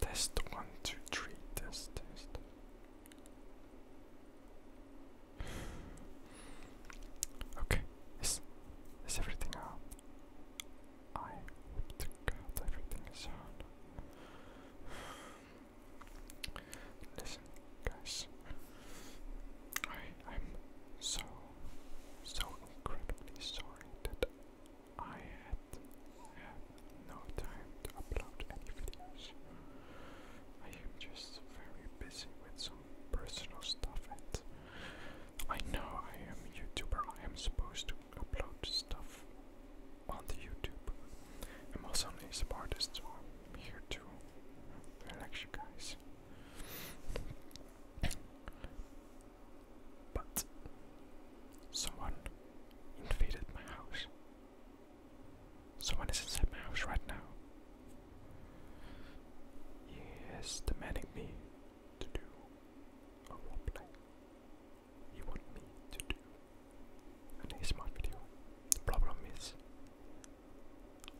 Test one, two, three, test, test. Okay, is is everything out? I hope to everything is out. Listen, guys, I I'm so so incredibly sorry that I had have no time to upload any videos. I am just very busy with some personal stuff and I know I am a YouTuber, I am supposed to upload stuff on the YouTube. I'm also an ASAP artist, so I'm here to relax you guys. But someone invaded my house. Someone is inside my house right now. He is demanding me to do a roleplay. He want me to do an ASMR video. The problem is,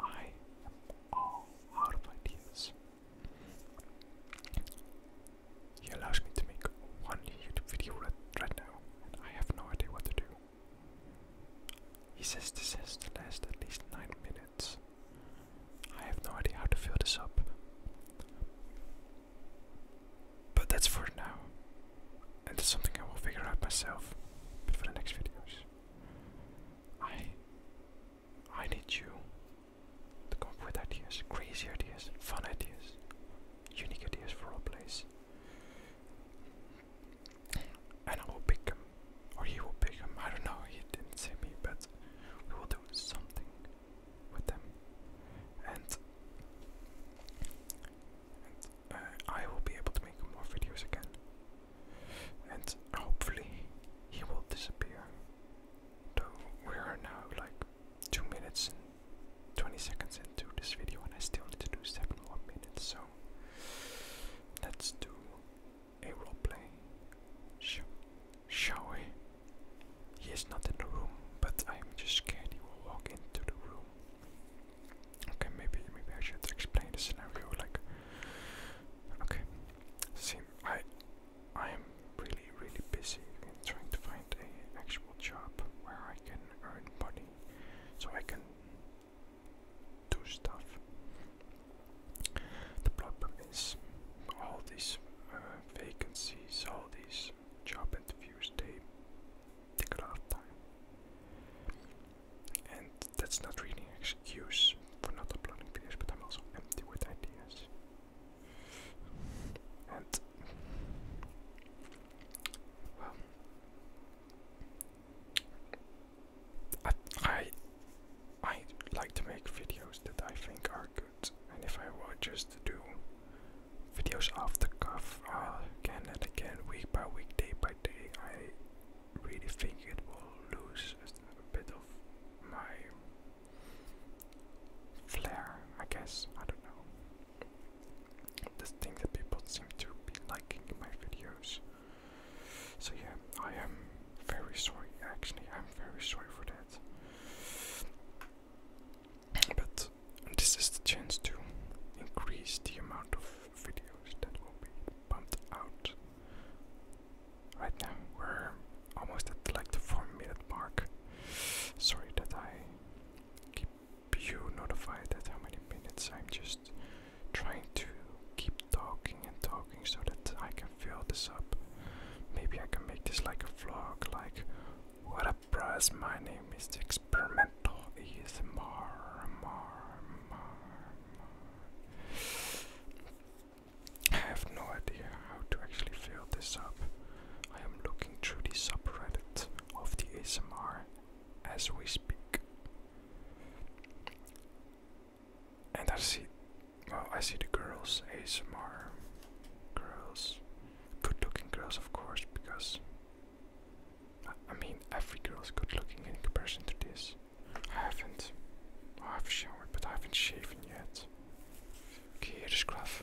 I am all out of ideas. He allows me to make one YouTube video right now, and I have no idea what to do. He says this has to last at least 9 minutes. I have no idea how to fill this up. But that's for now. And it's something I will figure out myself for the next videos. I I need you to come up with ideas, crazy ideas, fun ideas, unique ideas for our place and I will pick him, or he will pick him. I don't know. He didn't see me, but we will do something with them, and, uh, I will be able to make more videos again, and hopefully he will disappear. Though we are now like two minutes twenty seconds into this video, and I still need to do seven more minutes, so. Let's do a roleplay, shall we? He is not in the room, but I'm just scared he will walk into the room. Okay, maybe maybe I should explain the scenario. Like, okay, see, I I am really really busy in trying to find an actual job where I can earn money so I can do stuff. The problem is all these uh, vacancies, all these job interviews, they take a lot of time. And that's not really an excuse for not uploading videos, but I'm also empty with ideas. Well, I, I like to make videos that I think are good, and if I were just to do videos off the cuff uh, again and again, week by week, day by day, I really think it will lose a bit of my flair. I guess I don't know. This thing that people seem to be liking in my videos. So yeah, I am very sorry. Actually, I'm very sorry for that. But this is the chance to increase the amount of videos that will be pumped out. Right now, we're almost at like the four minute mark. Sorry that I keep you notified that how many minutes I'm just trying to keep talking and talking so that I can fill this up. Maybe I can make this like a vlog, like what a buzz! my name is Experimental ASMR Mar Mar I have no idea how to actually fill this up. I am looking through the subreddit of the ASMR as we speak. And I see, well, I see the girls, ASMR girls, good looking girls, of course, because I mean, every girl is good looking in comparison to this. I haven't, I have showered, but I haven't shaven yet. Okay, here's Graf.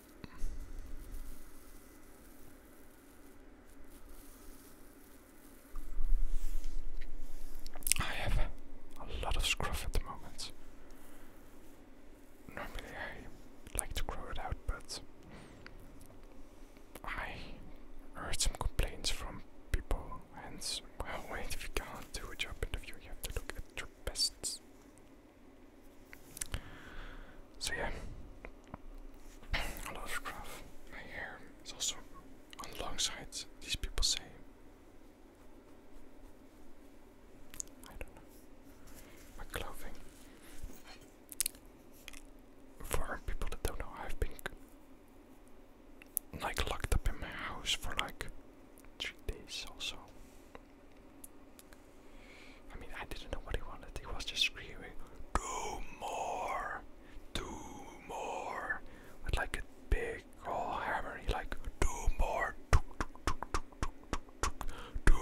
I have a lot of scruff at the moment. Normally I like to grow it out, but I heard some complaints from people, and well, wait, if you can't do a job interview, you have to look at your best so yeah, a lot of graph. My hair is also on the long sides. These people say. I don't know. My clothing. For people that don't know, I've been like locked up in my house for like three days also. I mean, I didn't know what he wanted. He was just screaming, "Do more, do more!" with like a big old hammer. He like, "Do more, do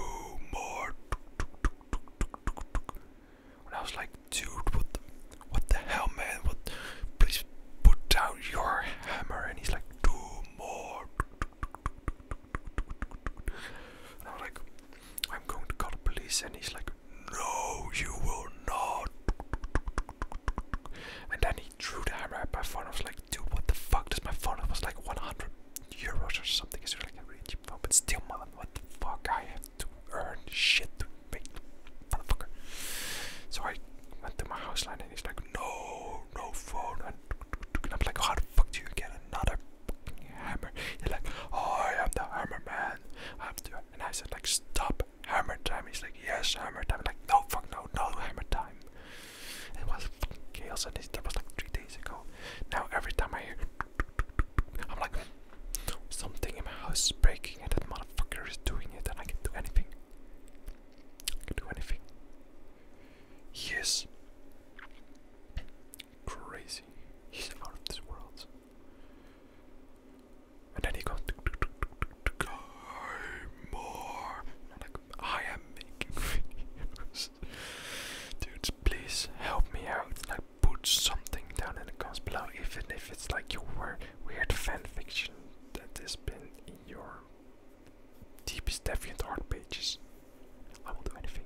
more." And I was like, "Dude, what? The, what the hell, man? What? Please put down your hammer!" And he's like, "Do more." And I was like, I'm going to call the police, and he's like, No, you will not. And then he threw the hammer at my phone. I was like, Dude, what the fuck? Does my phone? It was like 100 euros or something. It's like a really cheap phone, but still, man, what the fuck? I have to earn shit to make motherfucker. So I went to my house line, and he's like, No, no phone and I'm like, how the fuck do you get another fucking hammer? He's like, I am the hammer man. I'm the, and I said, like, stop hammer time. He's like, yes, hammer time. I'm like, no, fuck, no, no, hammer time. It was chaos, and that was like three days ago. Now every time I hear, I'm like, something in my house is breaking, and that motherfucker is doing it, and I can do anything. can do anything. He is crazy. He's out of this world. And then he goes, more. And I'm like, I am making videos. Dudes, please help me out. Like, put something down in the comments below, even if it's like you were weird fanfiction that has been in your Deepest deviant art pages. I will do anything.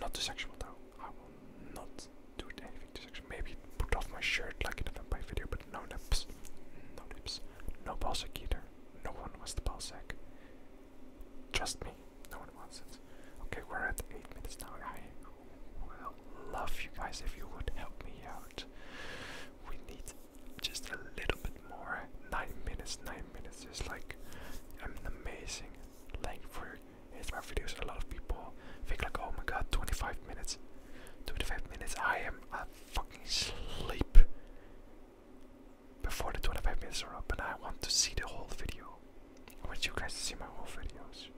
Not the sexual though. I will not do anything to sexual. Maybe put off my shirt like in the vampire video, but no nips. No nips. No balsack either. No one wants the balsack. Trust me, no one wants it. Okay, we're at 8 minutes now. I will love you guys if you would help me out we need just a little bit more. Nine minutes, nine minutes is like I'm amazing length for my videos. A lot of people think like, oh my god, 25 minutes, 25 minutes. I am a fucking sleep before the 25 minutes are up, and I want to see the whole video. I want you guys to see my whole videos.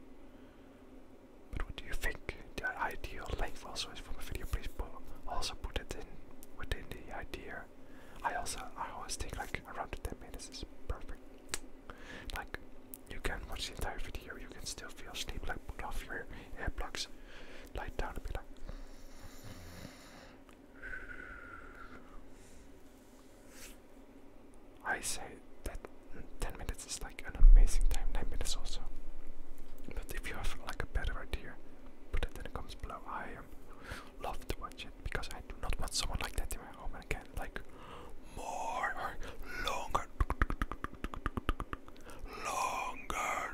But what do you think? the ideal length also is from a video, please put, also put it in within the idea. I also I always think like around 10 minutes is perfect. Like you can watch the entire video, you can still feel sleep, like put off your earplugs, lie down and be like I say that 10 minutes is like like an amazing time, 9 minutes also. But if you have like a better idea, put it in the comments below. I um, love to watch it because I do not want someone like that in my home again. like more longer longer